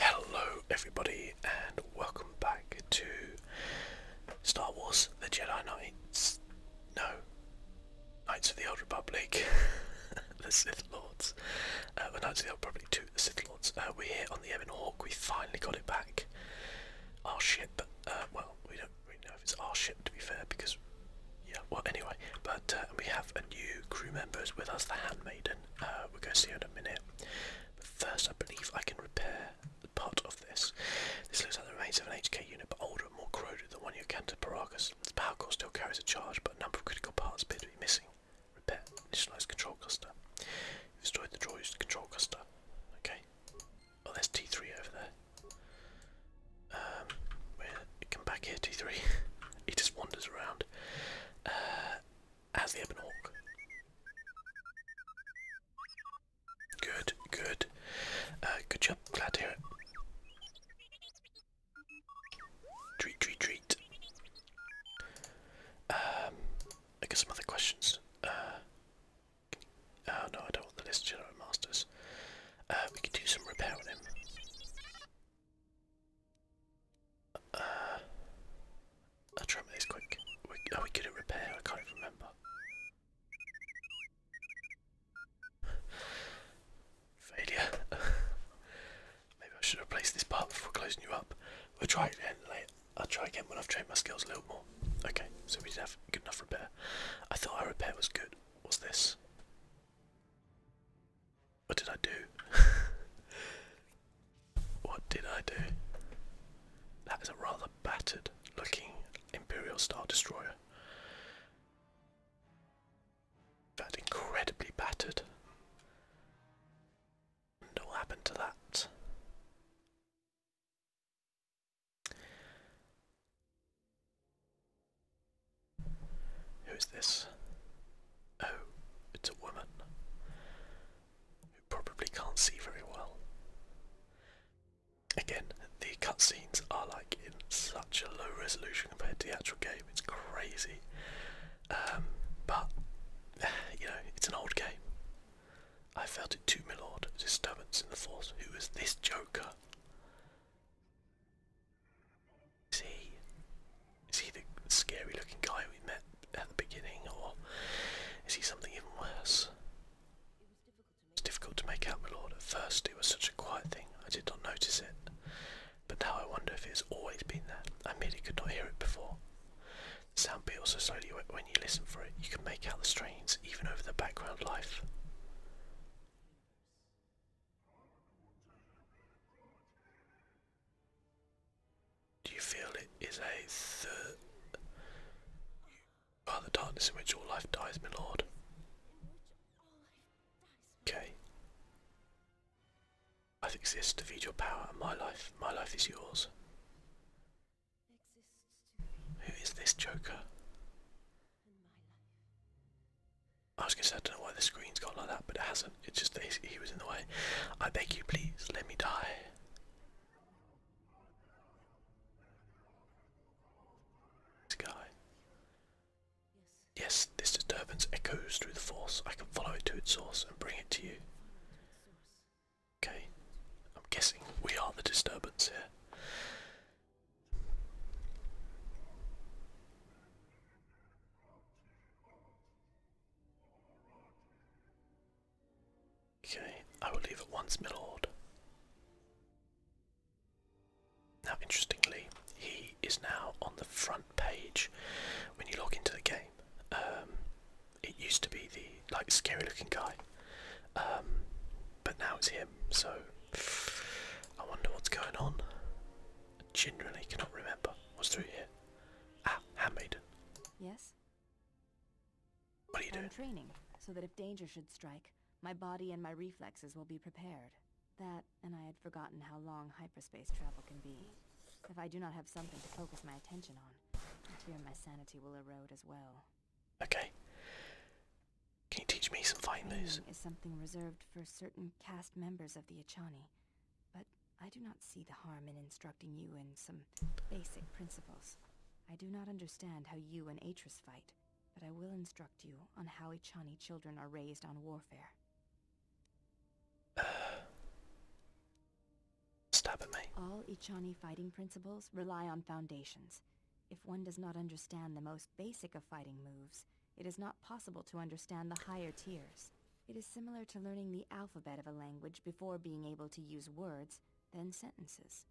Hello, everybody, and welcome back to Star Wars The Jedi Knights. No, Knights of the Old Republic, the Sith Lords. Uh, the Knights of the Old Republic 2, the Sith Lords. Uh, we're here on the Ebon Hawk, we finally got it back. Our ship, uh, well, we don't really know if it's our ship to be fair, because yeah, well, anyway, but uh, we have a new crew member with us, the Handmaiden. Uh, we're going to see her in a minute. But first, I believe I can repair the part of this. This looks like the remains of an HK unit, but older and more corroded than one you encountered at Paragus. The power core still carries a charge, but a number of critical parts appear to be missing. Repair. Initialize control cluster. You've destroyed the droid's control cluster. Okay. Oh, there's T3 over there. Um, come back here, T3. he just wanders around. Uh, as the Ebon Hawk. Good, good. Uh, good job, glad to hear it. Treat, treat, treat. Um, I guess some other questions. Uh, oh no, I don't want the list masters. Uh, we could do some repair on him. Uh, I'll try this quick. Are we, good oh, at repair? I can't even remember. Failure. Maybe I should replace this part before closing you up. We'll try again later. I'll try again when I've trained my skills a little more. Okay, so we did have good enough repair. I thought our repair was good. What's this? What did I do? what did I do? That is a rather battered looking Imperial Star Destroyer. That's incredibly battered. what happened to that? Who's this? Oh, it's a woman who probably can't see very well. Again, the cutscenes are like in such a low resolution compared to the actual game, it's crazy. Um, but, you know, it's an old game. I felt it too, my lord. Disturbance in the force. Who is this Joker? Is he is he the scary looking guy we met at the beginning or is he something even worse? It's difficult to make out, my lord. At first it was such a quiet thing, I did not notice it. But now I wonder if it has always been there. I merely could not hear it before. The sound builds so slowly when you listen for it, you can make out the strains even over the background life. Do you feel it is a third? You the darkness in which all life dies, my lord. Okay. I exist to feed your power, my life, my life is yours. Who is this Joker? I was I don't know why the screen's gone like that, but it has not stuff. It's just that he was in the way. I beg you, please, let me die. This guy. Yes, this disturbance echoes through the force. I can follow it to its source and bring it to you. Okay, I'm guessing we are the disturbance here. Okay, I will leave it once, milord. Now, interestingly, he is now on the front page when you log into the game. Um, it used to be the like scary-looking guy, um, but now it's him. So I wonder what's going on. I generally, cannot remember what's through here. Ah, handmaiden. Yes. What are you doing? I'm training so that if danger should strike, my body and my reflexes will be prepared. That, and I had forgotten how long hyperspace travel can be. If I do not have something to focus my attention on, I fear my sanity will erode as well. Okay. Can you teach me some fighting moves? is something reserved for certain caste members of the Achani. But I do not see the harm in instructing you in some basic principles. I do not understand how you and Atris fight, but I will instruct you on how Ichani children are raised on warfare. Stop stab at me. All Ichani fighting principles rely on foundations. If one does not understand the most basic of fighting moves, it is not possible to understand the higher tiers. It is similar to learning the alphabet of a language before being able to use words, then sentences.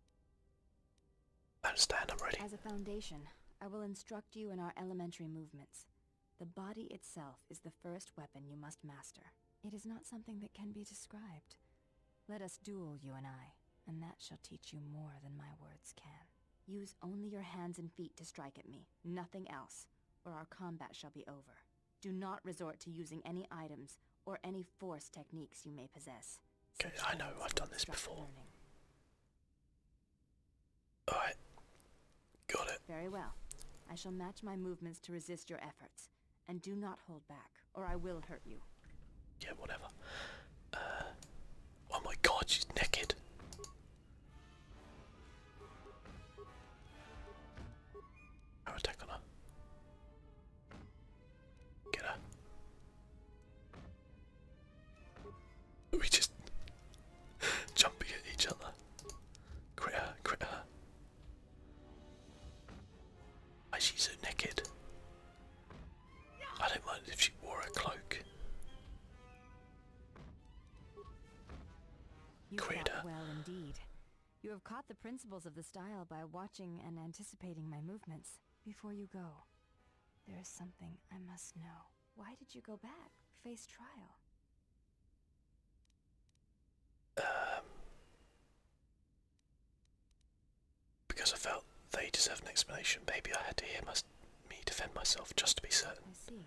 understand, I'm ready. As a foundation, I will instruct you in our elementary movements. The body itself is the first weapon you must master. It is not something that can be described. Let us duel, you and I, and that shall teach you more than my words can. Use only your hands and feet to strike at me, nothing else, or our combat shall be over. Do not resort to using any items or any force techniques you may possess. Okay, I know, I've done this before. Alright. Got it. Very well. I shall match my movements to resist your efforts. And do not hold back, or I will hurt you. Yeah, whatever. Uh, oh my god, she's naked. How is that gonna get her? We just jumping at each other. Quit her, quit her. Why is she so naked? I don't mind if she wore a cloak. You Queda. well indeed. You have caught the principles of the style by watching and anticipating my movements. Before you go, there is something I must know. Why did you go back, face trial? Um, because I felt they deserved an explanation. Maybe I had to hear me defend myself just to be certain. I see.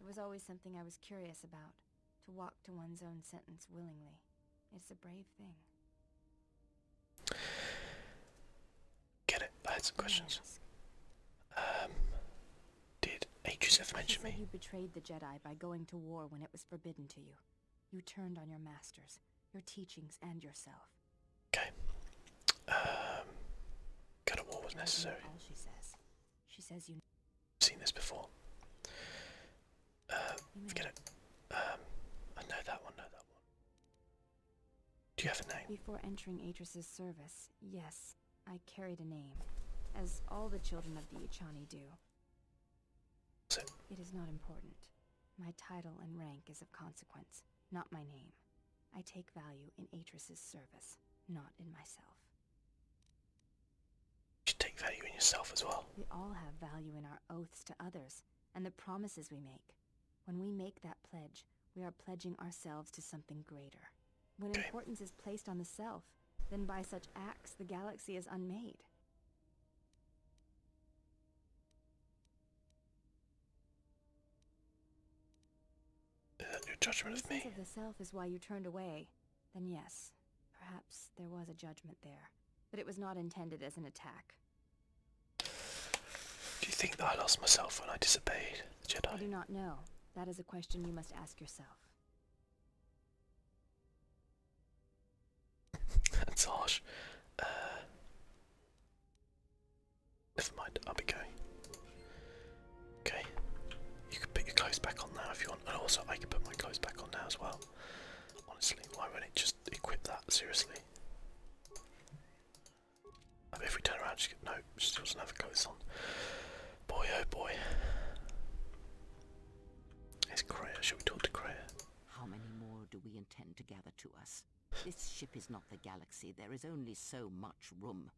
It was always something I was curious about to walk to one's own sentence willingly. It's a brave thing. Get it. I had some questions. Um, did H.S.F. mention me? You betrayed the Jedi by going to war when it was forbidden to you. You turned on your masters, your teachings, and yourself. Okay. Um, go to war was necessary. All she says. She says you have seen this before. Um, forget it. Um, I know that one, know that one. Do you have a name? Before entering Atris's service, yes, I carried a name, as all the children of the Ichani do. It is not important. My title and rank is of consequence, not my name. I take value in Atris's service, not in myself. You should take value in yourself as well. We all have value in our oaths to others and the promises we make. When we make that pledge, we are pledging ourselves to something greater. When importance is placed on the self, then by such acts the galaxy is unmade. your judgment the of me? the self is why you turned away, then yes, perhaps there was a judgment there, but it was not intended as an attack. Do you think that I lost myself when I disobeyed the Jedi? I do not know. That is a question you must ask yourself. That's harsh. Uh, never mind, I'll be going. Okay, you can put your clothes back on now if you want, and also I can put my clothes back on now as well. Honestly, why won't it just equip that? Seriously. if we turn around, no, she still doesn't have clothes on. Boy, oh boy. It's Kreia. Should we talk to Kreia? How many more do we intend to gather to us? This ship is not the galaxy. There is only so much room.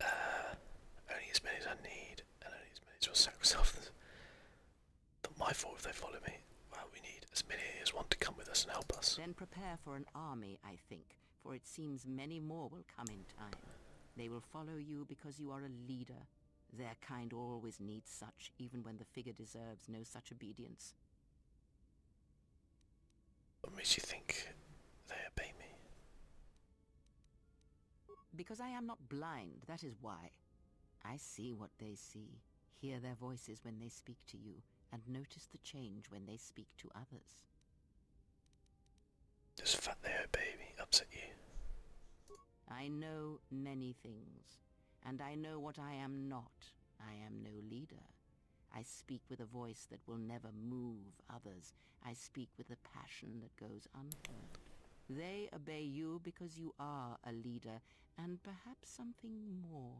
Uh, only as many as I need, and only as many as will sacrifice others. Not my fault if they follow me. Well, we need as many as want to come with us and help us. Then prepare for an army, I think, for it seems many more will come in time. They will follow you because you are a leader. Their kind always needs such, even when the figure deserves no such obedience. What makes you think they obey me? Because I am not blind, that is why. I see what they see, hear their voices when they speak to you, and notice the change when they speak to others. Does Fat Leo Baby upset you? I know many things, and I know what I am not. I am no leader. I speak with a voice that will never move others, I speak with a passion that goes unheard. They obey you because you are a leader, and perhaps something more.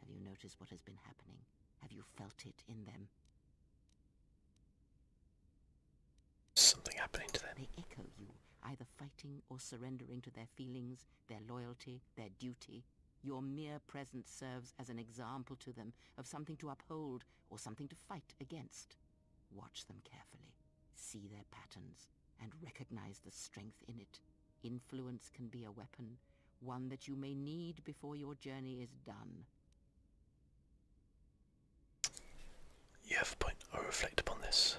Have you noticed what has been happening? Have you felt it in them? Something happening to them. They echo you, either fighting or surrendering to their feelings, their loyalty, their duty. Your mere presence serves as an example to them of something to uphold or something to fight against. Watch them carefully, see their patterns, and recognize the strength in it. Influence can be a weapon, one that you may need before your journey is done. You have a point. i reflect upon this.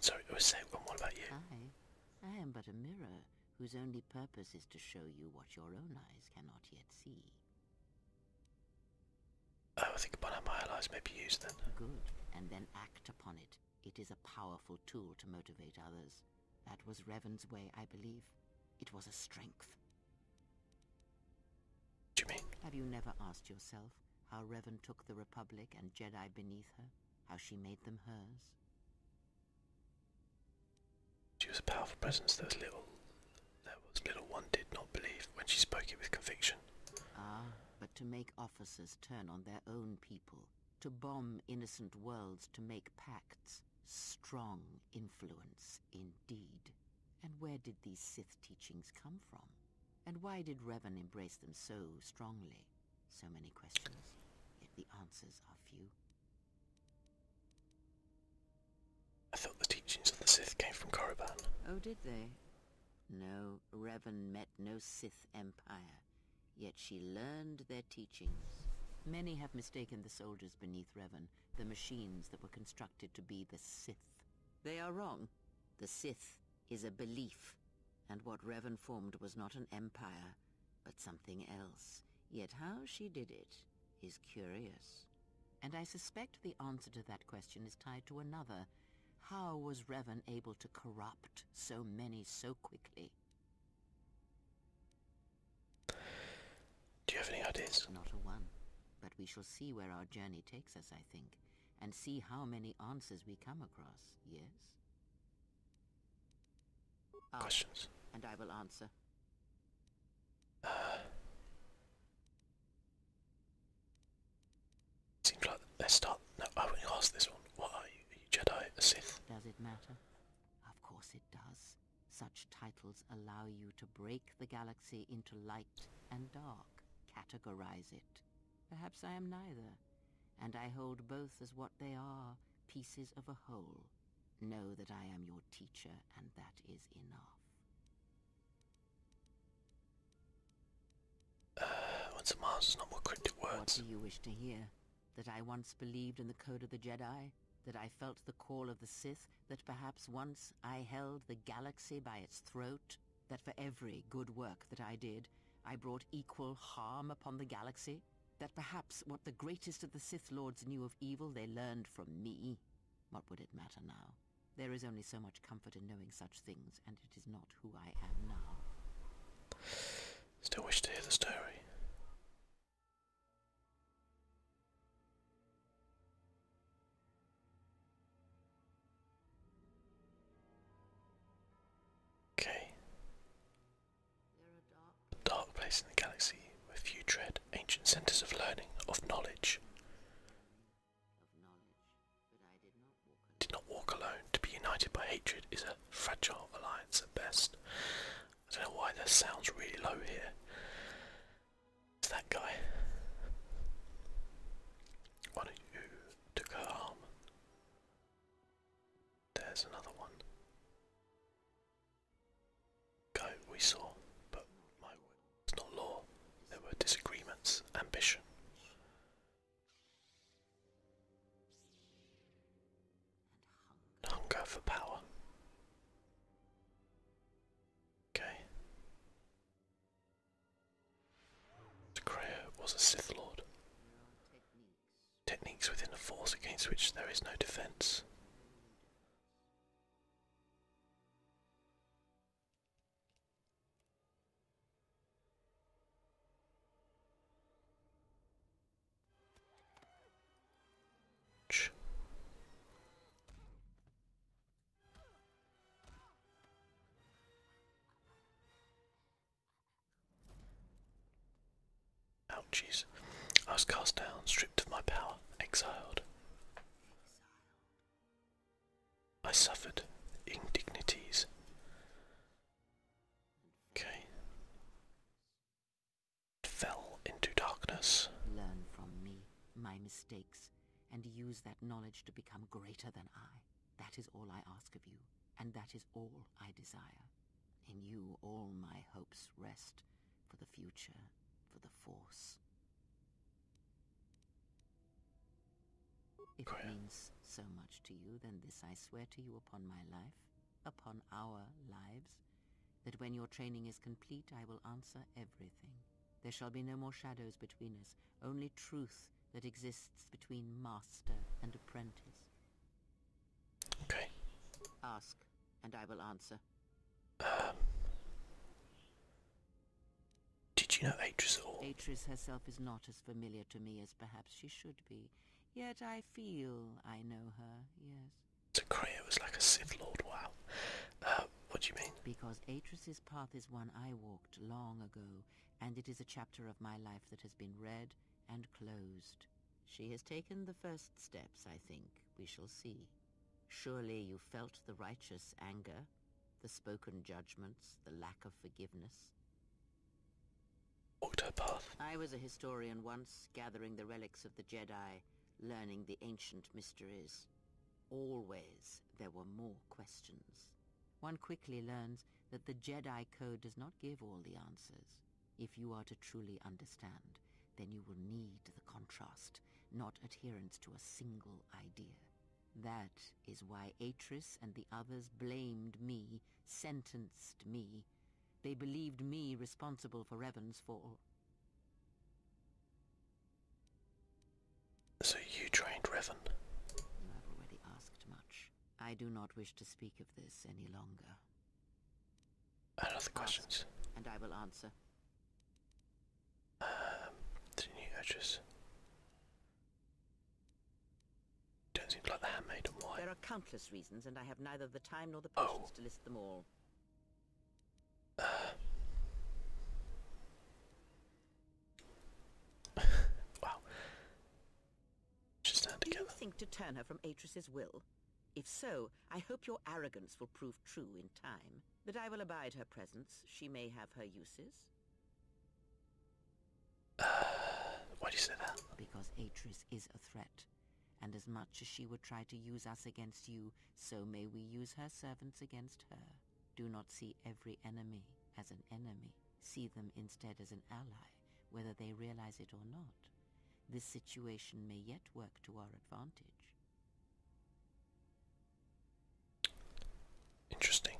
sorry, I was saying, what about you? I, I am but a mirror whose only purpose is to show you what your own eyes cannot yet see. Oh, I will think upon how my allies may be used then. Good, and then act upon it. It is a powerful tool to motivate others. That was Revan's way, I believe. It was a strength. Do Have you never asked yourself how Revan took the Republic and Jedi beneath her? How she made them hers? She was a powerful presence Those little there was little one did not believe when she spoke it with conviction. Ah, but to make officers turn on their own people, to bomb innocent worlds, to make pacts, strong influence indeed. And where did these Sith teachings come from? And why did Revan embrace them so strongly? So many questions, yet the answers are few. I thought the teachings of the Sith came from Korriban. Oh, did they? No, Revan met no Sith Empire, yet she learned their teachings. Many have mistaken the soldiers beneath Revan, the machines that were constructed to be the Sith. They are wrong. The Sith is a belief, and what Revan formed was not an empire, but something else. Yet how she did it what is curious? And I suspect the answer to that question is tied to another. How was Revan able to corrupt so many so quickly? Do you have any ideas? Not a one. But we shall see where our journey takes us, I think, and see how many answers we come across, yes? Ah, Questions. and I will answer. Uh, seems like let's start. No, I wouldn't ask this one. What are you? Jedi, Sith? Does it matter? Of course it does. Such titles allow you to break the galaxy into light and dark, categorize it. Perhaps I am neither, and I hold both as what they are, pieces of a whole. Know that I am your teacher, and that is enough. Uh, once a monster's not more cryptic words. What do you wish to hear? That I once believed in the code of the Jedi? That I felt the call of the Sith? That perhaps once I held the galaxy by its throat? That for every good work that I did, I brought equal harm upon the galaxy? That perhaps what the greatest of the Sith Lords knew of evil they learned from me? What would it matter now? There is only so much comfort in knowing such things, and it is not who I am now. Still wish to hear the story. Okay. A dark place in the galaxy where few tread, ancient centres of learning, of knowledge of did not walk alone. To be united by hatred is a fragile alliance at best. I don't know why that sounds really low here. It's that guy. One who took her arm. There's another one go we saw, but my word was not law. There were disagreements, ambition. hunger for power. Okay. Decrea was a Sith Lord. Techniques within a force against which there is no defense. Ouchies. I was cast down, stripped of my power, exiled. I suffered indignities. Okay. fell into darkness. Learn from me, my mistakes, and use that knowledge to become greater than I. That is all I ask of you, and that is all I desire. In you all my hopes rest, for the future, for the Force. If it means so much to you, then this I swear to you upon my life, upon our lives, that when your training is complete, I will answer everything. There shall be no more shadows between us, only truth that exists between master and apprentice. Ask, and I will answer. Um, did you know Atris at all? Atris herself is not as familiar to me as perhaps she should be, yet I feel I know her, yes. So Creo was like a Sith Lord, wow. Uh, what do you mean? Because Atris's path is one I walked long ago, and it is a chapter of my life that has been read and closed. She has taken the first steps, I think. We shall see. Surely you felt the righteous anger the spoken judgments, the lack of forgiveness. Octopath. I was a historian once, gathering the relics of the Jedi, learning the ancient mysteries. Always there were more questions. One quickly learns that the Jedi Code does not give all the answers. If you are to truly understand, then you will need the contrast, not adherence to a single idea. That is why Atris and the others blamed me, sentenced me. They believed me responsible for Revan's fall. So you trained Revan? You have already asked much. I do not wish to speak of this any longer. I have other questions. and I will answer. Um, new edges. Don't seem like the handmade and There are countless reasons, and I have neither the time nor the oh. patience to list them all. Uh. wow. Just stand together. think to turn her from Atris's will? If so, I hope your arrogance will prove true in time. That I will abide her presence. She may have her uses. why do you say that? Because Atris is a threat. And as much as she would try to use us against you, so may we use her servants against her. Do not see every enemy as an enemy. See them instead as an ally, whether they realize it or not. This situation may yet work to our advantage. Interesting.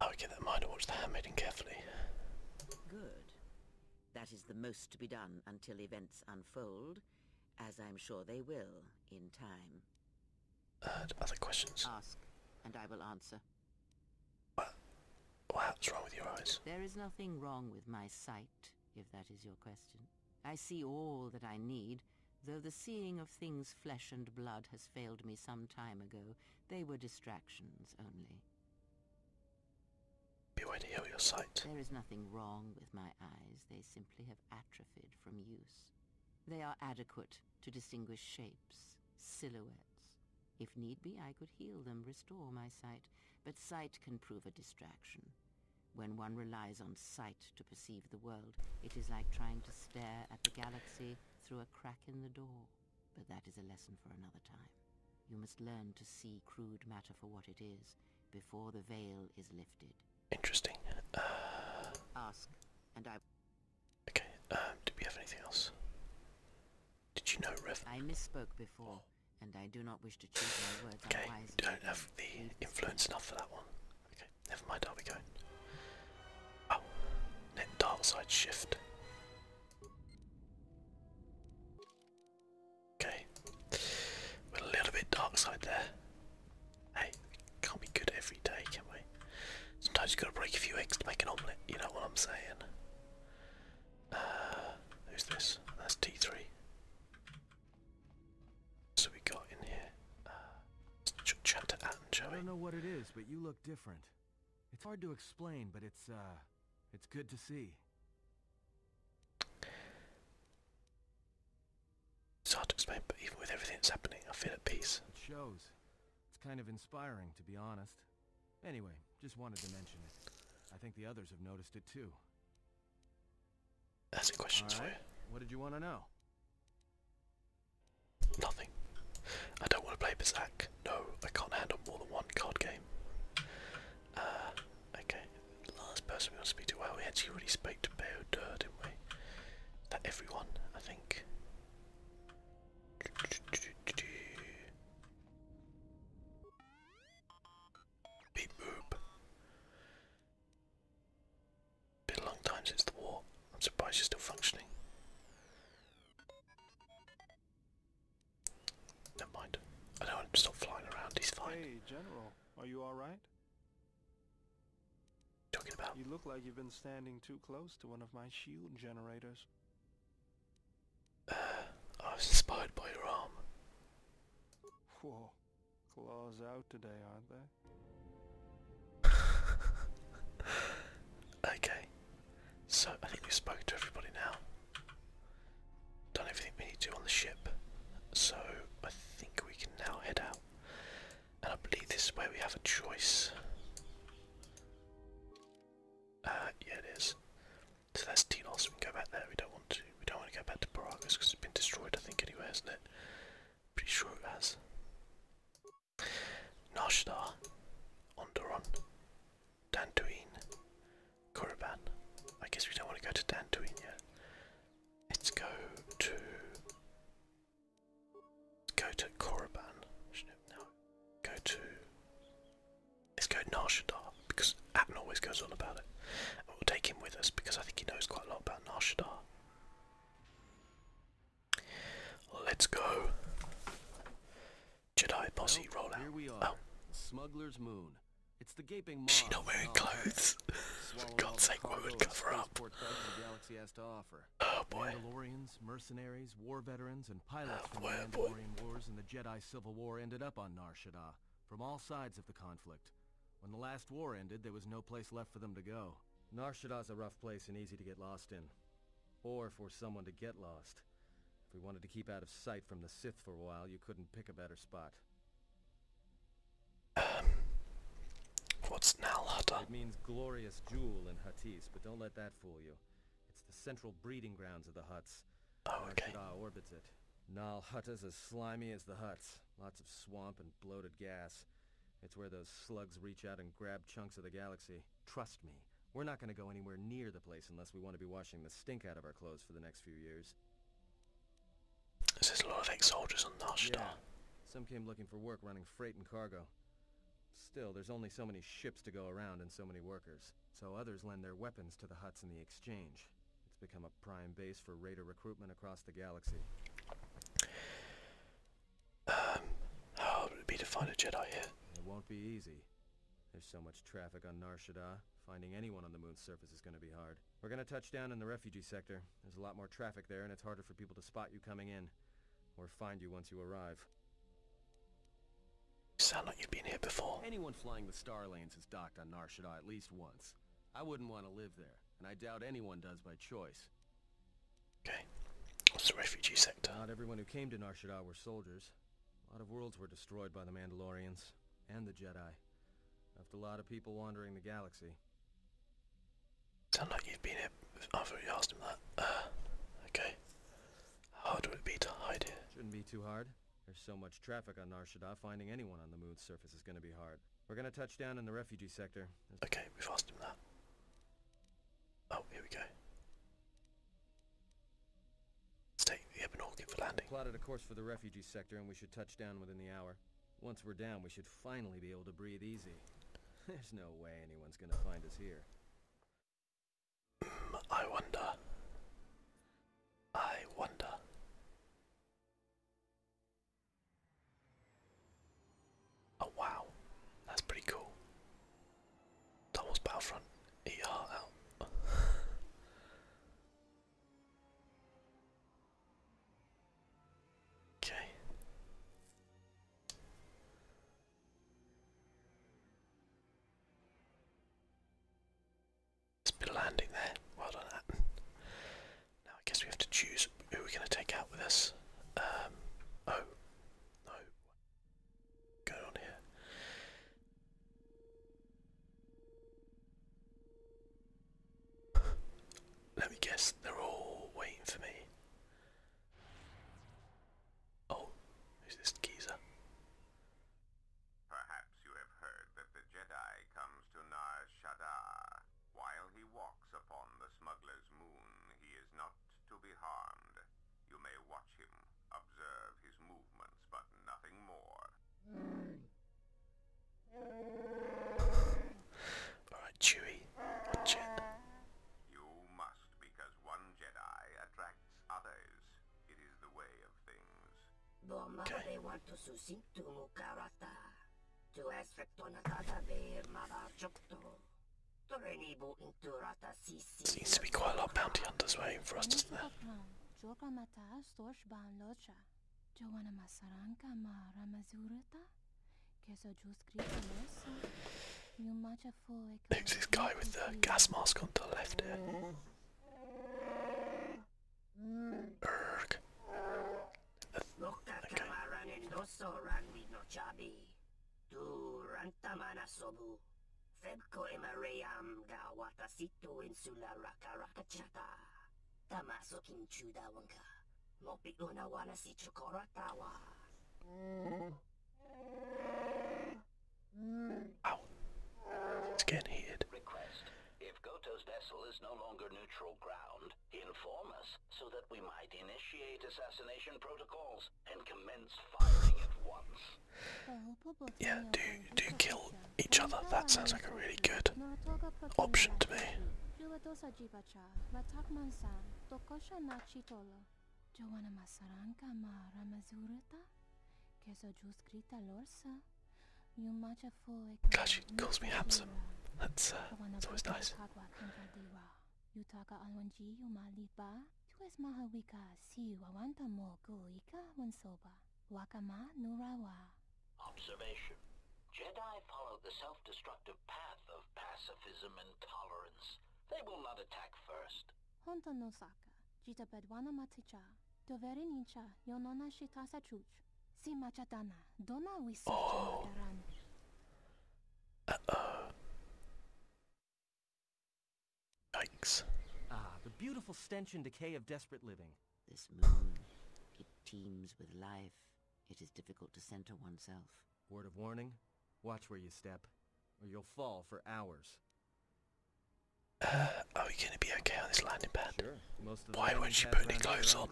I will keep that in mind and watch the handmaiden carefully. Good. That is the most to be done until events unfold, as I'm sure they will in time. Uh, other questions? Ask, and I will answer. What? What's wrong with your eyes? There is nothing wrong with my sight if that is your question. I see all that I need, though the seeing of things flesh and blood has failed me some time ago. They were distractions only. Beware to heal your sight. There is nothing wrong with my eyes. They simply have atrophied from use. They are adequate to distinguish shapes, silhouettes. If need be, I could heal them, restore my sight, but sight can prove a distraction. When one relies on sight to perceive the world, it is like trying to stare at the galaxy through a crack in the door. But that is a lesson for another time. You must learn to see crude matter for what it is before the veil is lifted. Interesting. Uh, Ask, and I. Okay. Um, did we have anything else? Did you know Rev? I misspoke before, oh. and I do not wish. Okay, don't have the influence enough for that one. Okay, never mind. Are we going. Oh, net dial side shift. Okay, a little bit dark side there. Hey, can't be good every day, can we? Sometimes you have gotta break a few eggs to make an omelette. You know what I'm saying? Uh, who's this? That's T3. So we got in here. Uh, ch chat to I don't know what it is, but you look different. It's hard to explain, but it's uh, it's good to see. It's hard to explain, but even with everything that's happening, I feel at peace. It shows. It's kind of inspiring, to be honest. Anyway, just wanted to mention it. I think the others have noticed it too. That's the questions for you. What did you want to know? Nothing. I don't want to play Berserk. No, I can't handle more than one card game. Uh, okay. Last person we want to speak to. Well, we actually already spoke to Beodur, didn't we? That everyone, I think. Been a long time since the war. I'm surprised you're still functioning. Never mind. I don't want flying around. He's fine. Hey, General, are you all right? Talking about. You look like you've been standing too close to one of my shield generators. Uh, I was inspired by your arm. Whoa, Claws out today, aren't they? okay. So I think we've spoken to everybody now. Done everything we need to on the ship. So I think we can now head out. And I believe this is where we have a choice. Uh, yeah, it is. So that's Tenos, we can go back there, we don't want to actually. We don't want to go back to Paragus because it's been destroyed, I think, anyway, hasn't it? Pretty sure it has. Nashdar, Onderon, Dantooine, Korriban. I guess we don't want to go to Dantooine yet. Let's go to. Let's go to Korriban. No, go to. Let's go Narshadar because Atten always goes on about it. we'll take him with us because I think he knows quite a lot about got Noshtar. Let's go. Jedi Posse well, rollout. Here we are. Oh. Smuggler's Moon. It's the gaping maw. She not wearing clothes. For God's sake, what would cover up? The has to offer. Oh boy. Mandalorians, mercenaries, war veterans, and pilots oh, from the oh, Mandalorian boy. Wars and the Jedi Civil War ended up on Nar Shaddaa from all sides of the conflict. When the last war ended, there was no place left for them to go. Narshada's a rough place and easy to get lost in. Or for someone to get lost. If we wanted to keep out of sight from the Sith for a while, you couldn't pick a better spot. What's Nalhata? It means glorious jewel in Hattis, but don't let that fool you. It's the central breeding grounds of the huts. Oh, Narshada orbits it. Nalhata's as slimy as the huts lots of swamp and bloated gas. It's where those slugs reach out and grab chunks of the galaxy. Trust me, we're not going to go anywhere near the place unless we want to be washing the stink out of our clothes for the next few years. This is a lot of ex-soldiers on Narshtar. Yeah. Some came looking for work running freight and cargo. Still, there's only so many ships to go around and so many workers, so others lend their weapons to the huts in the exchange. It's become a prime base for raider recruitment across the galaxy. Um, how hard would it be to find a Jedi It won't be easy. There's so much traffic on Nar Shaddaa. Finding anyone on the moon's surface is going to be hard. We're going to touch down in the refugee sector. There's a lot more traffic there, and it's harder for people to spot you coming in. Or find you once you arrive. You sound like you've been here before. Anyone flying the Star Lanes has docked on Nar Shaddaa at least once. I wouldn't want to live there, and I doubt anyone does by choice. Okay. What's the refugee sector? Not everyone who came to Nar Shaddaa were soldiers. A lot of worlds were destroyed by the Mandalorians, and the Jedi. Left a lot of people wandering the galaxy. Sound like you've been here after oh, you asked him that. Uh, okay. How hard would it be to hide here? Shouldn't be too hard. There's so much traffic on Nar Shaddaa, finding anyone on the moon's surface is going to be hard. We're gonna touch down in the refugee sector. Okay, we've asked him that. Oh, here we go. let the Ebenorkin for landing. Plotted a course for the refugee sector and we should touch down within the hour. Once we're down, we should finally be able to breathe easy. There's no way anyone's gonna find us here. Hmm, I wonder. I wonder. Oh wow, that's pretty cool. That Battlefront. Eat okay. It's landing there. Well done, now I guess we have to choose who we're going to take out with us. Um, oh, no. going on here? Let me guess, they're all waiting for me. Oh, who's this geezer? Perhaps you have heard that the Jedi comes to Nar Shaddaa, while he walks upon the smuggler's moon, he is not to be harmed. You may watch him, observe his movements, but nothing more. Alright, Chewie, Jet. You must, because one Jedi attracts others. It is the way of things. Okay. To Seems to be quite a lot of bounty hunters waiting for us, doesn't there? Who's this guy with the gas mask on the left here? Erg. Mukta kamaranit no soran with no chabi. Tu rantamana sobu. Febko emaream da watasito insula rakarakachata. Tamaso kinchuda wanka. Mopi una wana si chokoratawa. Ow. It's getting heated. Request. If Goto's vessel is no longer neutral ground, inform us so that we might initiate assassination protocols and commence firing at once. Yeah, do do kill each other. That sounds like a really good option to me. Glad she calls me handsome. That's, that's uh, always nice. Observation. Jedi follow the self-destructive path of pacifism and tolerance. They will not attack first. Honta no saka. Jita bedwana maticha. Doverin incha yonona shitasa chuch. Oh. uh Ah, the beautiful stench and decay of desperate living. This moon, it teems with life. It is difficult to center oneself. Word of warning, watch where you step, or you'll fall for hours. Uh, are we gonna be okay on this landing pad? Why would not she put any clothes on?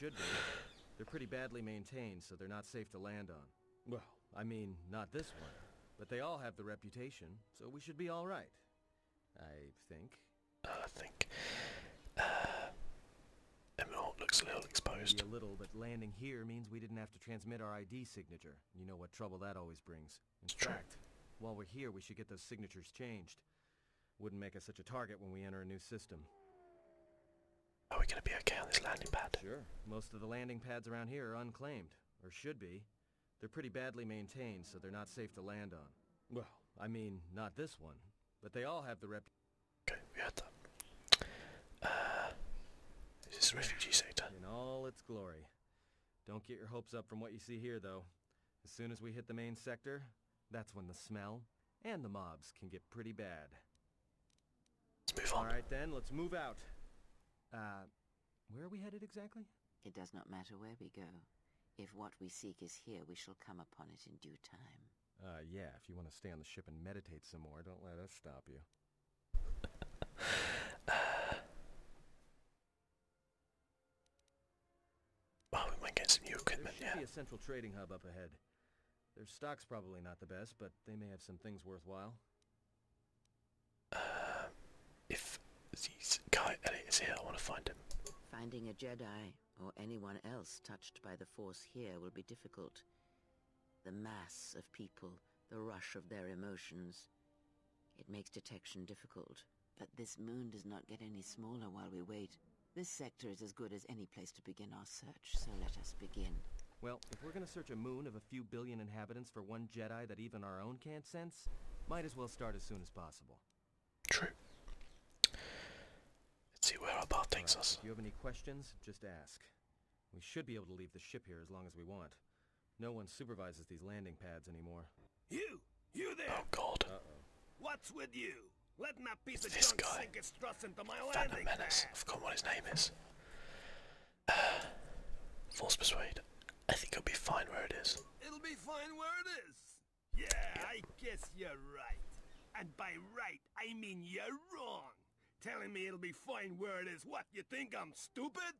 They're pretty badly maintained, so they're not safe to land on. Well, I mean, not this one. But they all have the reputation, so we should be all right. I think. I think. Uh, Emerald looks a little exposed. Maybe a little, but landing here means we didn't have to transmit our ID signature. You know what trouble that always brings. In fact, while we're here, we should get those signatures changed wouldn't make us such a target when we enter a new system. Are we going to be okay on this landing pad? Sure. Most of the landing pads around here are unclaimed, or should be. They're pretty badly maintained, so they're not safe to land on. Well, I mean, not this one, but they all have the rep... we had that. Uh, this is refugee sector. In all its glory. Don't get your hopes up from what you see here, though. As soon as we hit the main sector, that's when the smell and the mobs can get pretty bad. Let's move on. All right then, let's move out. Uh, where are we headed exactly? It does not matter where we go. If what we seek is here, we shall come upon it in due time. Uh, yeah, if you want to stay on the ship and meditate some more, don't let us stop you. Oh, we might get some new there should Be a central trading hub up ahead. Their stock's probably not the best, but they may have some things worthwhile. Uh, if this guy is here, I want to find him. Finding a Jedi or anyone else touched by the Force here will be difficult. The mass of people, the rush of their emotions. It makes detection difficult. But this moon does not get any smaller while we wait. This sector is as good as any place to begin our search, so let us begin. Well, if we're gonna search a moon of a few billion inhabitants for one Jedi that even our own can't sense, might as well start as soon as possible. True. Let's see where our about takes us. If you have any questions, just ask. We should be able to leave the ship here as long as we want. No one supervises these landing pads anymore. You! You there! Oh god. What's with you? Let that piece of this guy, Phantom Menace. I've forgotten what his name is. Uh, Force Persuade. I think it'll be fine where it is. It'll be fine where it is. Yeah, I guess you're right. And by right, I mean you're wrong. Telling me it'll be fine where it is. What, you think I'm stupid?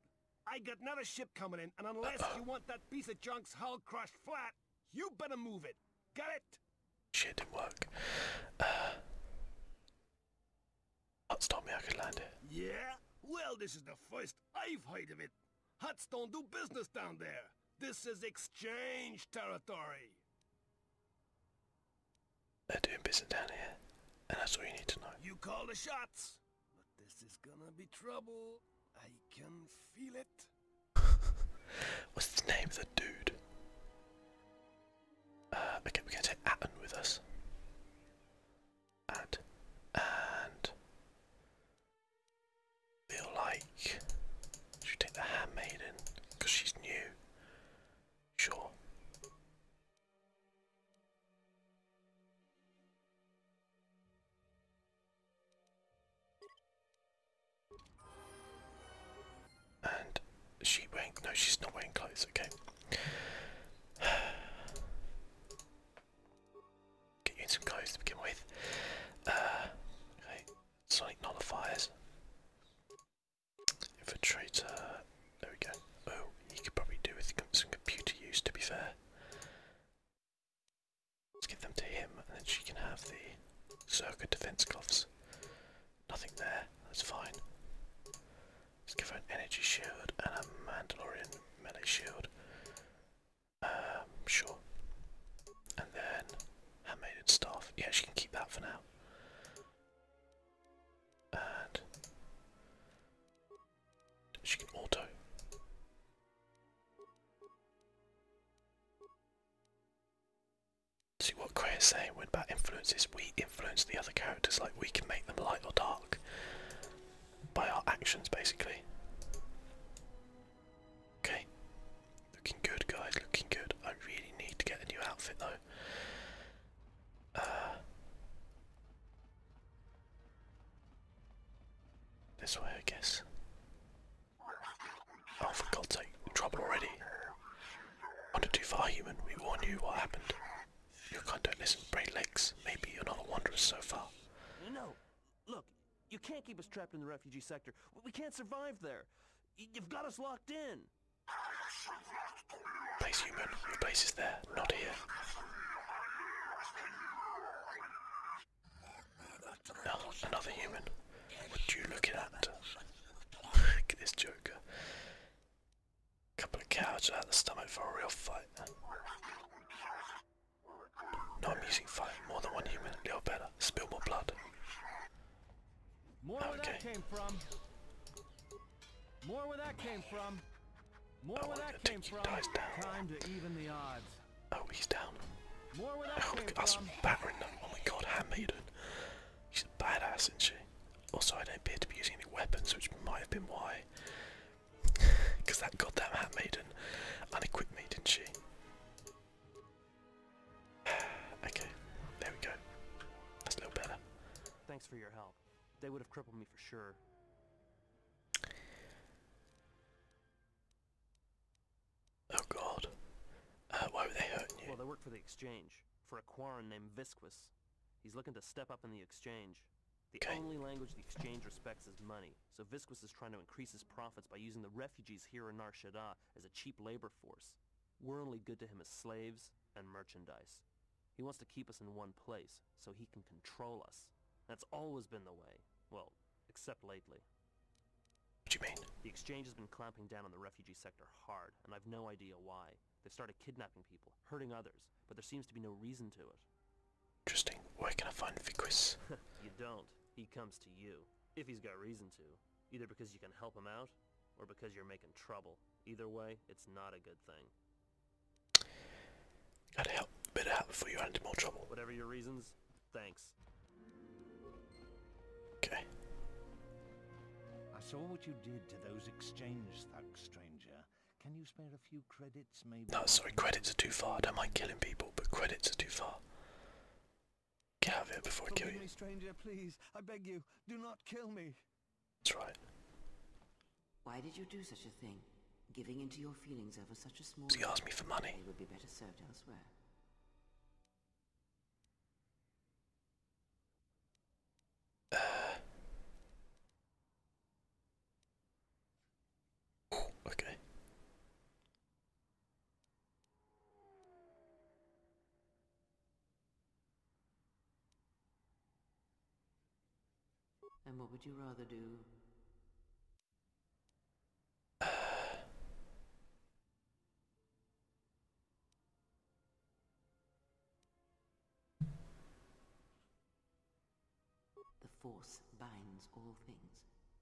I got another ship coming in, and unless you want that piece of junk's hull crushed flat, you better move it. Got it? Shit, didn't work. Uh, told me I could land it. Yeah? Well, this is the first I've heard of it. Huts don't do business down there. This is exchange territory. They're doing business down here, and that's all you need to know. You call the shots. But this is gonna be trouble. I can feel it. What's the name of the dude? Uh, okay, we're going to take Atten with us. And, and, feel like, should take the handmaiden, because she's new. Sure. And she wearing no, she's not wearing clothes, okay. Get you in some clothes to begin with. Uh okay, sonic nullifiers. Infiltrator there we go. Oh, he could probably do with some computer use to be fair. Let's give them to him and then she can have the circa defense gloves. Nothing there, that's fine. Let's give her an energy shield and a Mandalorian melee shield. Um, sure. And then handmaiden staff. Yeah, she can keep that for now. And she can auto. See what Cray is saying about influences, we influence the other characters, like we can make them light or dark by our actions basically. Okay, looking good guys, looking good. I really need to get a new outfit though. Uh, this way I guess. Oh, for God's sake, trouble already. Wander too far, human. We warned you what happened. Your kind don't listen to legs. Maybe you're not a wanderer so far. No, look, you can't keep us trapped in the refugee sector. We can't survive there. You've got us locked in. Place human. Your place is there, not here. Oh, another human. What you looking at? Look this joker. Couple of cowards out the stomach for a real fight. No, i fight. More than one human, little better. Spill more blood. More where that came from. More where that came from. More oh, where that came from. Time to even the odds. Oh, he's down. Oh, oh, my god, Handmaiden. She's a badass, isn't she? Also, I don't appear to be using any weapons, which might have been why. Because that goddamn Handmaiden unequipped me, didn't she? okay, there we go. That's a little better. Thanks for your help. They would have crippled me for sure. Oh god. Uh, why were they hurting you? Well, they work for the exchange, for a Quarren named Visquis. He's looking to step up in the exchange. The only language the exchange respects is money, so Visquis is trying to increase his profits by using the refugees here in Nar Shaddaa as a cheap labor force. We're only good to him as slaves and merchandise. He wants to keep us in one place, so he can control us. That's always been the way. Well, except lately. What you mean? The exchange has been clamping down on the refugee sector hard, and I've no idea why. They've started kidnapping people, hurting others, but there seems to be no reason to it. Interesting. Where can I find Viquis? you don't. He comes to you. If he's got reason to. Either because you can help him out, or because you're making trouble. Either way, it's not a good thing. Gotta help, better help before you run into more trouble. Whatever your reasons, Thanks. Okay. I saw what you did to those exchange thugs, stranger. Can you spare a few credits, maybe? No, sorry, credits are too far. I don't mind killing people, but credits are too far. Get out of here before I kill you. Me, stranger, please. I beg you, do not kill me. That's right. Why did you do such a thing? Giving into your feelings over such a small... So you asked me for money. They would be better served elsewhere. okay. And what would you rather do? The Force binds all things.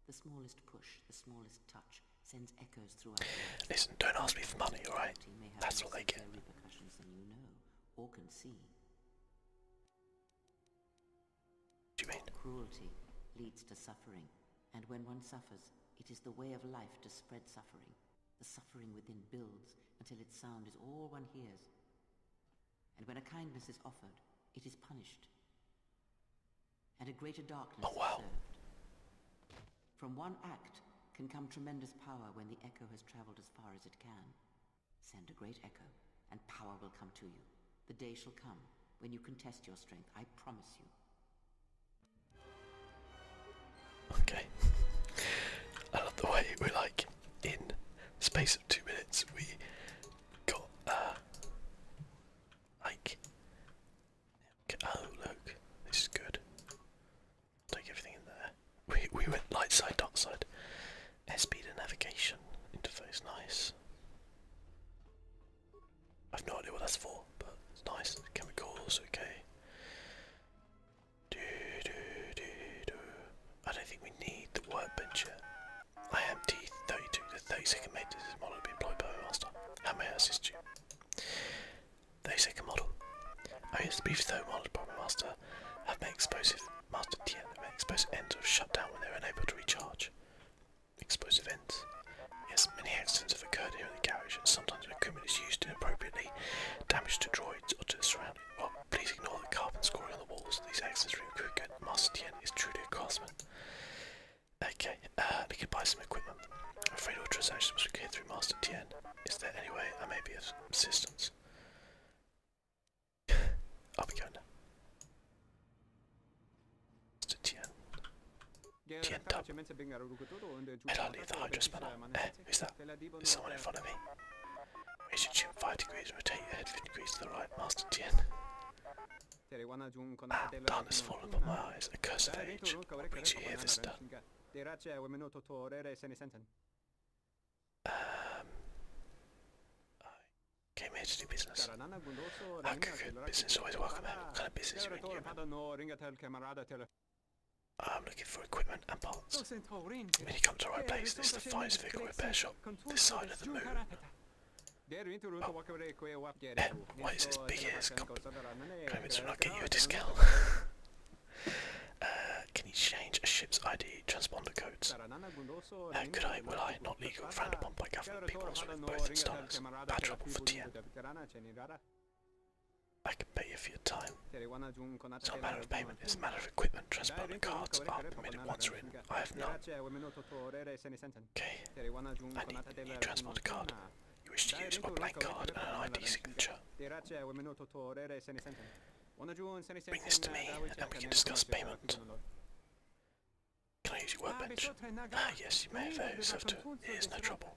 The smallest push, the smallest touch sends echoes throughout. Listen, don't ask me for money, alright? That's what they get. Repercussions than you know or can see. you mean? Cruelty leads to suffering, and when one suffers, it is the way of life to spread suffering. The suffering within builds until its sound is all one hears. And when a kindness is offered, it is punished. And a greater darkness oh, wow. served. From one act can come tremendous power when the echo has traveled as far as it can. Send a great echo, and power will come to you. The day shall come when you can test your strength, I promise you. Okay. I love the way we like in space of two minutes we got uh like oh look, this is good. Take everything in there. We we went light side, dark side. Airspeed and navigation interface, nice. I've no idea what that's for, but it's nice. Chemicals, okay. I don't think we need the workbench yet. I empty 32 the 32nd mate. This is model will be employed by master. How may I assist you? 32nd model. I yes, beef though modeled by my master have made explosive master TN have made explosive ends of shut down when they're unable to recharge. Exposed events. Yes, many accidents have occurred here in the carriage. and sometimes equipment is used inappropriately, damage to droids or to the surrounding. Well, please ignore the carbon scoring on the walls. These accidents are quicker. Master Tien is truly a craftsman. Okay, uh, we can buy some equipment. I'm afraid all transactions must be cleared through Master Tien. Is there any way I may be of assistance? I'll be going now to Tien. Tien Tub. Head on the Hydra Eh, who's that? Is someone in front of me? We should tune 5 degrees, rotate your head 50 degrees to the right, Master Tien. Ah, darkness fallen upon my eyes, a curse of age. brings you here done? Um, came here to do business. How ah, could business always welcome What kind of business are you in, human? I'm looking for equipment and parts. Minicom to right place. This is the finest vehicle repair shop. This side of the moon. Oh. why is this big ass claimants will get you a discount? Uh, can you change a ship's ID transponder codes? could I, will I, not legal, frowned upon by government people with both installers? Bad for TM. I can pay you for your time. It's not a matter of payment, it's a matter of equipment, transport cards are permitted once written. I have none. Okay. I need a new transport card. You wish to use a blank card and an ID signature. Bring this to me, and we can discuss payment. Can I use your workbench? Ah, yes, you may have those, uh, have no trouble.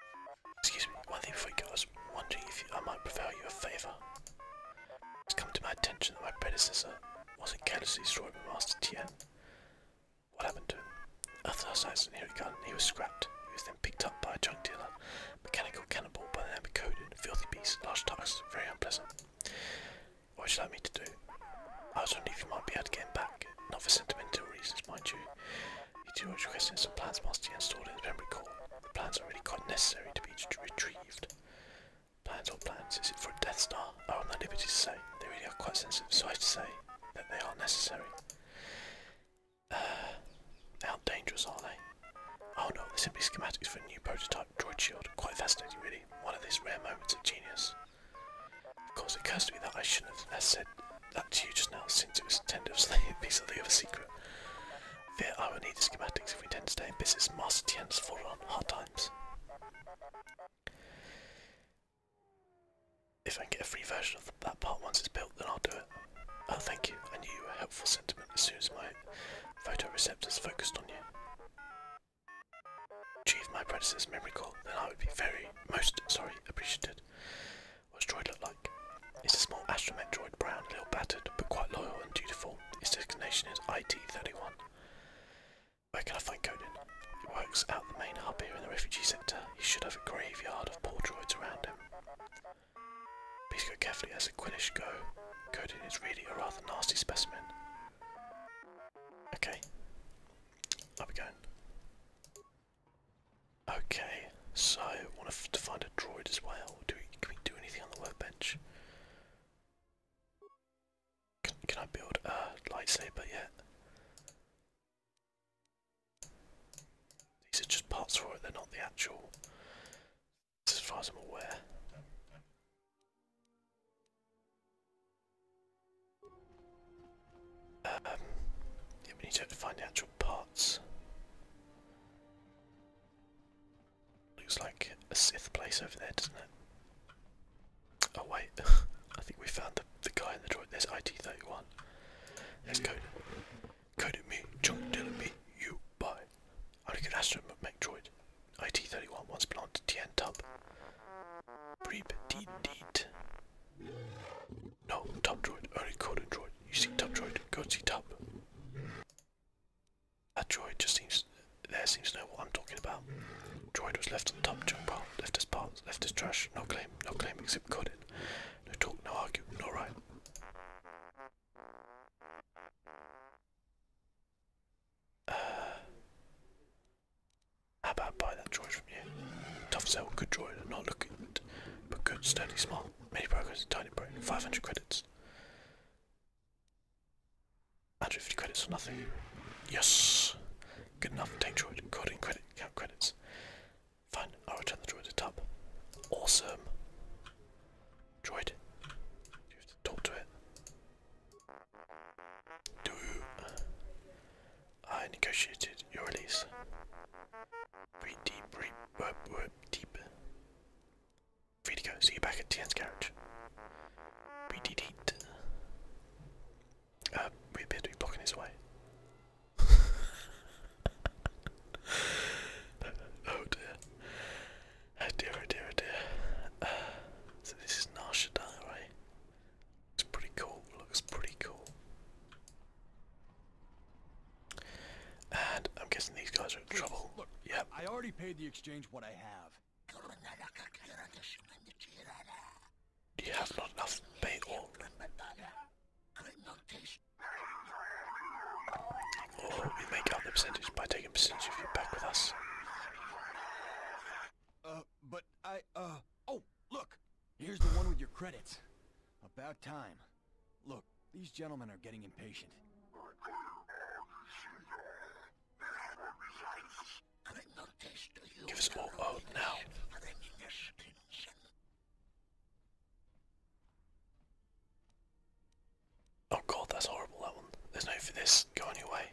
Excuse me, one thing before you go, I was wondering if I might prevail you a favour. It's come to my attention that my predecessor wasn't carelessly destroyed by Master Tien. What happened to him? After last night's inherit gun, he was scrapped. He was then picked up by a junk dealer, mechanical cannibal by the name of Coden, filthy beast, large tusks, very unpleasant. What should I like to do? I was wondering if you might be able to get him back, not for sentimental reasons, mind you. He too was requesting some plans must be installed in the memory core. The plans are really quite necessary to be retrieved. Plans or plans, is it for a Death Star? I'm oh, not liberty to say. They really are quite sensitive, so I have to say that they are necessary. Uh, how dangerous are they? Oh no, they simply schematics for a new prototype droid shield. Quite fascinating really, one of these rare moments of genius. Of course it occurs to me that I shouldn't have said that to you just now since it was intended to be something of other secret. Fear I oh, will need the schematics if we intend to stay in business. Master Tien's full on hard times. If I can get a free version of that part once it's built, then I'll do it. Oh, thank you. I knew you were helpful sentiment as soon as my photoreceptors focused on you. Achieve my predecessor's memory call, then I would be very, most, sorry, appreciated. What Droid look like? It's a small astromech droid, brown, a little battered, but quite loyal and dutiful. Its designation is IT-31. Where can I find Conan? He works out the main hub here in the refugee sector. He should have a graveyard of poor droids around him. Please go carefully as a Quillish go. Conan is really a rather nasty specimen. Okay. Up we going. Okay, so want to find a droid as well. Do we, can we do anything on the workbench? Can, can I build a lightsaber yet? These are just parts for it, they're not the actual, as far as I'm aware. Um, yeah, we need to find the actual parts. Looks like a Sith place over there, doesn't it? Oh wait, I think we found the, the guy in the droid. There's IT-31. Let's go. Code me, junk dealer me, you buy. Only good astromech droid. IT-31 once belonged to Tien Tub. Breep deed deed. No, Tub droid, only code droid. You see droid, go see that droid just seems there seems to know what I'm talking about. Droid was left on top junk pile, left his part, left his trash, no claim, no claim except coding. No talk, no argue, no right. Uh, how about buy that droid from you? Tough sell, good droid, not looking, but good, sturdy, smart. Many programs, tiny brain, 500 credits credits. 150 credits or nothing. Yes! Good enough, take droid, recording credit, count credits. Fine, I'll return the droid to top. Awesome! Droid, you have to talk to it. Do I negotiated your release? Pretty deep, deep, deep, Free to go. See you back at Tian's garage. Redeed. Uh, we appear to be blocking his way. oh dear. Oh, dear, oh, dear, oh, dear. Uh, so this is Narshadai, right? Looks pretty cool, looks pretty cool. And I'm guessing these guys are in trouble. Look, yeah. I already paid the exchange what I have. You have not enough pay or or oh, we make up the percentage by taking percentage of you back with us. Uh, but I, uh, oh, look! Here's the one with your credits. About time. Look, these gentlemen are getting impatient. Give us all out now. Oh god, that's horrible, that one. There's no need for this. Go on your way.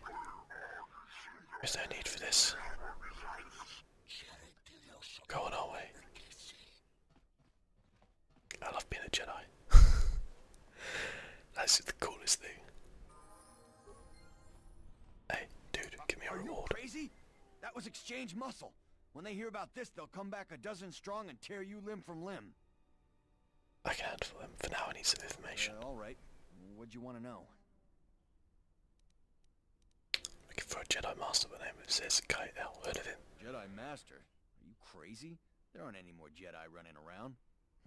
There's no need for this. Go on our way. I love being a Jedi. That's the coolest thing. Hey, dude, give me a Are reward. crazy? That was exchange muscle. When they hear about this, they'll come back a dozen strong and tear you limb from limb. I can handle them. For now, I need some information. all right. do you want to know? Looking for a Jedi Master by the name of Zekai L. Heard of him? Jedi Master? Are you crazy? There aren't any more Jedi running around,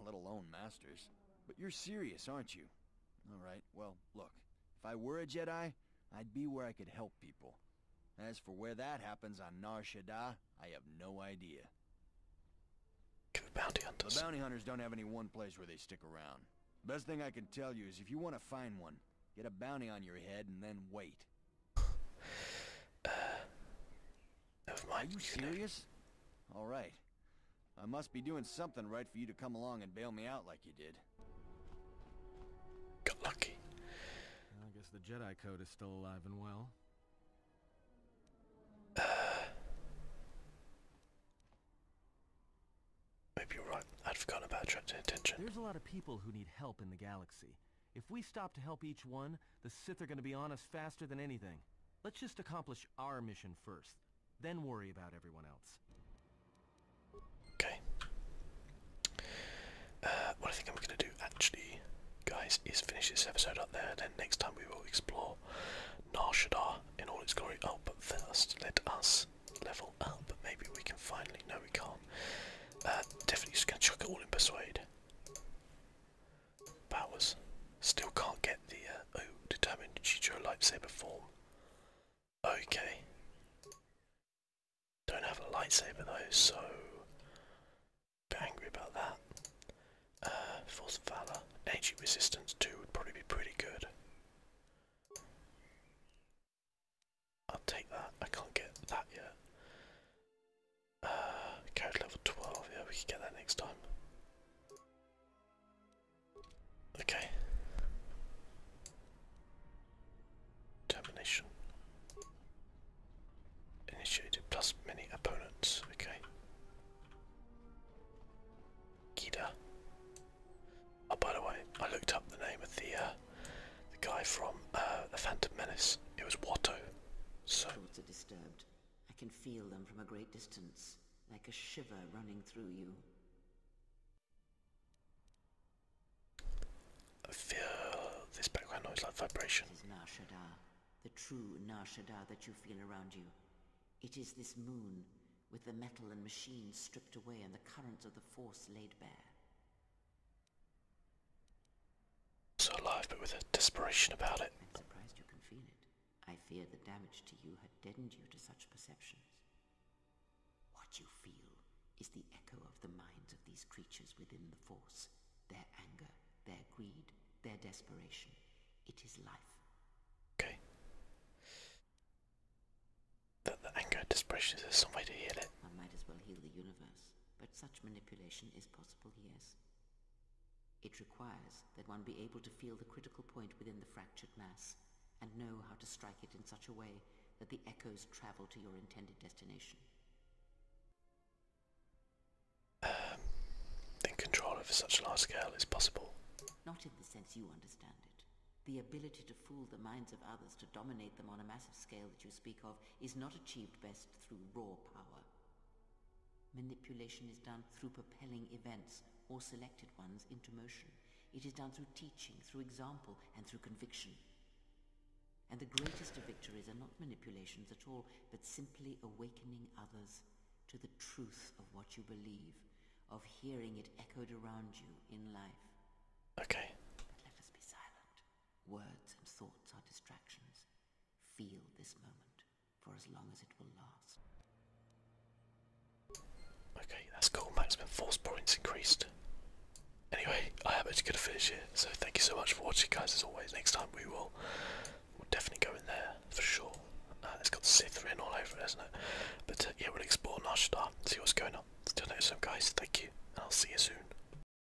let alone Masters. But you're serious, aren't you? All right, well, look. If I were a Jedi, I'd be where I could help people. As for where that happens on Nar Shaddaa, I have no idea. The bounty hunters. The bounty hunters don't have any one place where they stick around. Best thing I can tell you is if you want to find one, get a bounty on your head and then wait. Are you serious? All right. I must be doing something right for you to come along and bail me out like you did. Got lucky. I guess the Jedi Code is still alive and well. maybe you're right. I'd forgotten about attracting attention. There's a lot of people who need help in the galaxy. If we stop to help each one, the Sith are gonna be on us faster than anything. Let's just accomplish our mission first, then worry about everyone else. Okay. Uh, what I think I'm gonna do actually, guys, is finish this episode up there, then next time we will explore Nar Shaddaa in all its glory. Oh, but first, let us level up. Maybe we can finally... No, we can't. Uh, definitely just gonna chuck it all in Persuade. Powers. Still can't get the oh determined Chicho lightsaber form. Okay. Don't have a lightsaber though, so bit angry about that. Uh, Force of Valor. Energy resistance too would probably be pretty good. I'll take that. I can't get that yet. Uh, carriage level 12. Yeah, we can get that next time. Okay. Termination. Initiated plus many opponents. Okay. Gida. Oh, by the way, I looked up the name of the uh, the guy from uh, The Phantom Menace. It was Watto. So. Thoughts are disturbed. I can feel them from a great distance, like a shiver running through you. I feel this background noise like vibration. It is Nar the true Nar that you feel around you. It is this moon, with the metal and machines stripped away and the currents of the Force laid bare. So alive, but with a desperation about it. I'm surprised you can feel it. I fear the damage to you had deadened you to such perceptions. What you feel is the echo of the minds of these creatures within the Force. Their anger, their greed, their desperation. It is life. Okay. That the anger desperation is some way to heal it. One might as well heal the universe but such manipulation is possible, yes. It requires that one be able to feel the critical point within the fractured mass, and know how to strike it in such a way that the echoes travel to your intended destination. then control over such large scale is possible. Not in the sense you understand it. The ability to fool the minds of others to dominate them on a massive scale that you speak of is not achieved best through raw power. Manipulation is done through propelling events or selected ones into motion. It is done through teaching, through example, and through conviction. And the greatest victories are not manipulations at all, but simply awakening others to the truth of what you believe, of hearing it echoed around you in life. Okay. let us be silent. Words and thoughts are distractions. Feel this moment for as long as it will last. Okay, that's cool. Maximum force points increased. Anyway, I am actually going to finish here, so thank you so much for watching, guys. As always, next time we will definitely go in there for sure. Uh, it's got Slytherin all over it, not it? But uh, yeah, we'll explore Narshadar, see what's going on. Till next time, guys. Thank you, and I'll see you soon.